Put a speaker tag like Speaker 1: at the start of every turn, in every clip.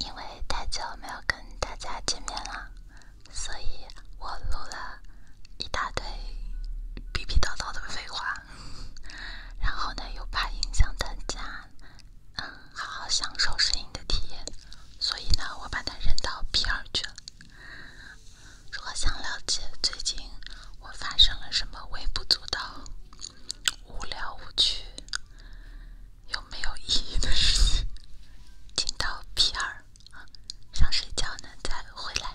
Speaker 1: 因为太久没有跟大家见面了，所以我录了一大堆、逼逼叨叨的废话。然后呢，又怕影响大家嗯好好享受声音的体验，所以呢，我把它扔到 P 二去了。如果想了解最近……我发生了什么微不足道、无聊无趣、又没有意义的事情？听到皮儿想睡觉呢，再回来。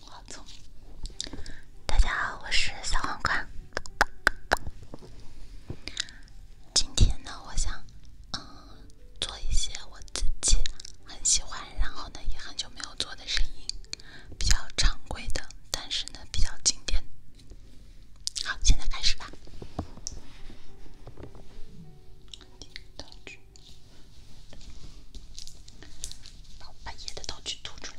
Speaker 1: 黄总，大家好，我是小黄瓜。今天呢，我想嗯，做一些我自己很喜欢，然后呢也很久没有做的声音，比较常规的，但是呢比较经典。好，现在开始吧。道具，把我半夜的道具吐出来。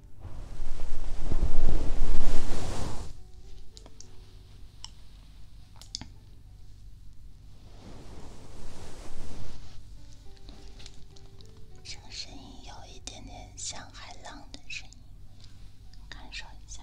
Speaker 1: 这个声音有一点点像海浪的声音，感受一下。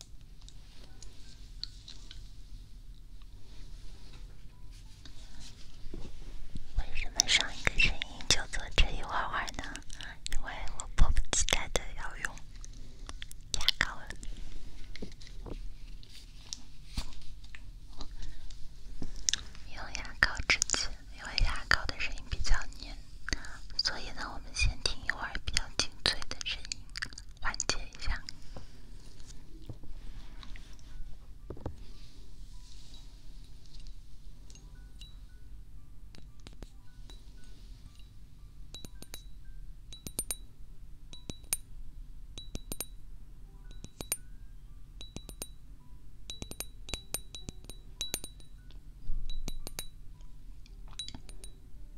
Speaker 1: 为什么上一个声音就做这一会儿呢？因为我迫不及待的要用牙膏用牙膏之前，因为牙膏的声音比较黏。所以呢，我们先听一会儿比较清脆的声音，缓解一下。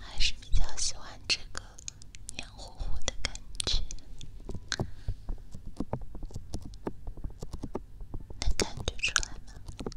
Speaker 1: 还是比较喜欢这个黏糊糊的感觉，能感觉出来吗？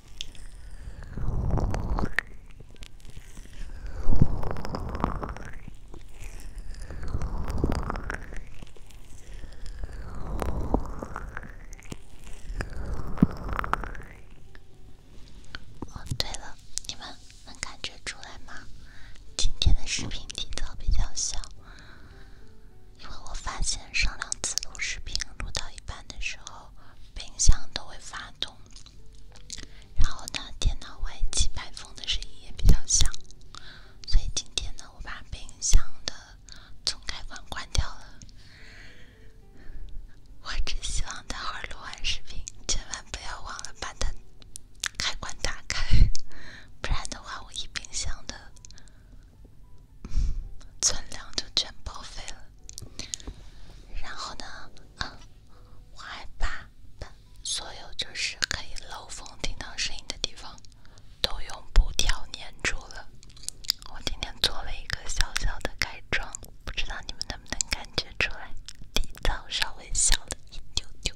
Speaker 1: 哦，对了，你们能感觉出来吗？今天的视频体噪比较小。因为我发现上两次录视频录到一半的时候，冰箱都会发动，然后呢，电脑外机排风的声音也比较响，所以今天呢，我把冰箱的总开关关掉了。我只希望待会儿录完视频，千万不要忘了把它开关打开，不然的话，我一冰箱的。存粮就全报废了。然后呢，我还把所有就是可以漏风、听到声音的地方都用布条粘住了。我今天做了一个小小的改装，不知道你们能不能感觉出来，底噪稍微小了一丢丢。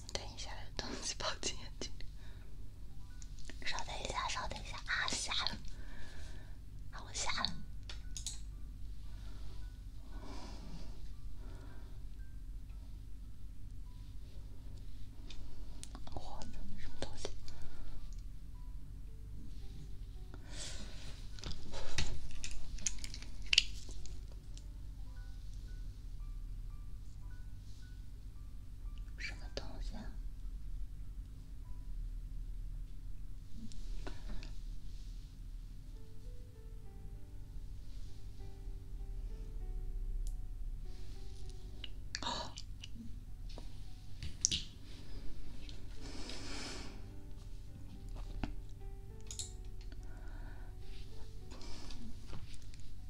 Speaker 1: 等一下，有东西跑进眼睛。里。稍等一下，稍等一下啊，瞎了！我瞎了！我操，什么东西？什么东西啊！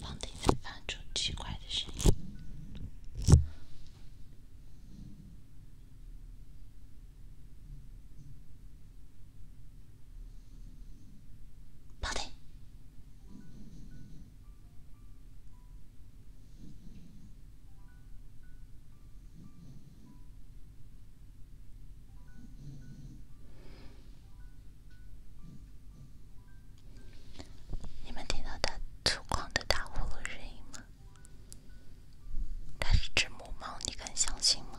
Speaker 1: 房顶在发出奇怪的声音。房顶。你们听到它粗犷的打呼噜声音吗？它是只母猫，你敢相信吗？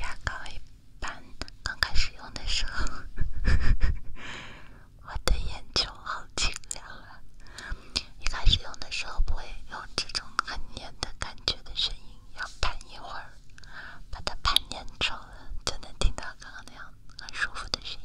Speaker 1: 牙膏一般刚开始用的时候。我的眼球好清凉啊！一开始用的时候不会用这种很黏的感觉的声音，要盘一会儿，把它盘粘稠了，就能听到刚刚那样很舒服的声音。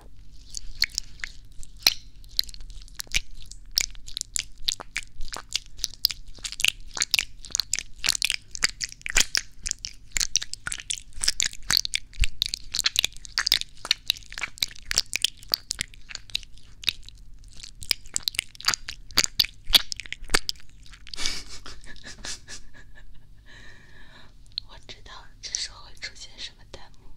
Speaker 1: 我知道这时候会出现什么。弹幕，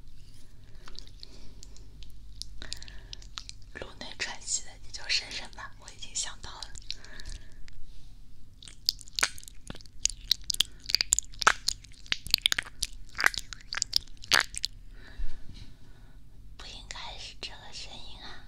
Speaker 1: 颅内喘息的你就深深吧，我已经想到了，不应该是这个声音啊。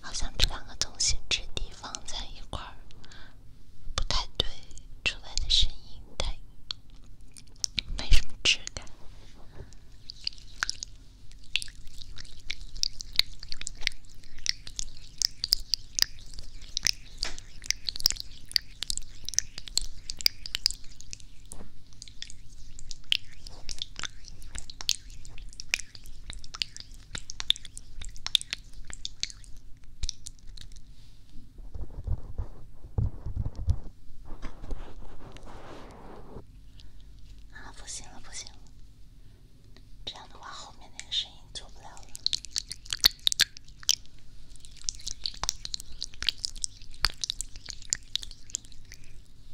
Speaker 1: 好像这两个同心质地放在一块儿，不太对，出来的声音太，没什么质感。啊，不行了，不行了！这样的话，后面那个声音做不了了。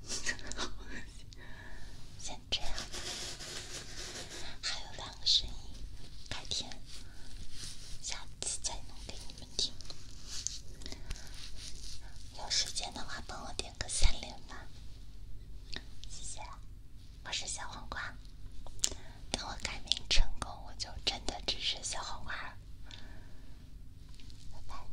Speaker 1: 先这样，还有两个声音，改天下次再弄给你们听。有时间的话，帮我点个三连吧，谢谢。我是小黄瓜，等我改名成功，我就真的只是小黄瓜了。拜拜。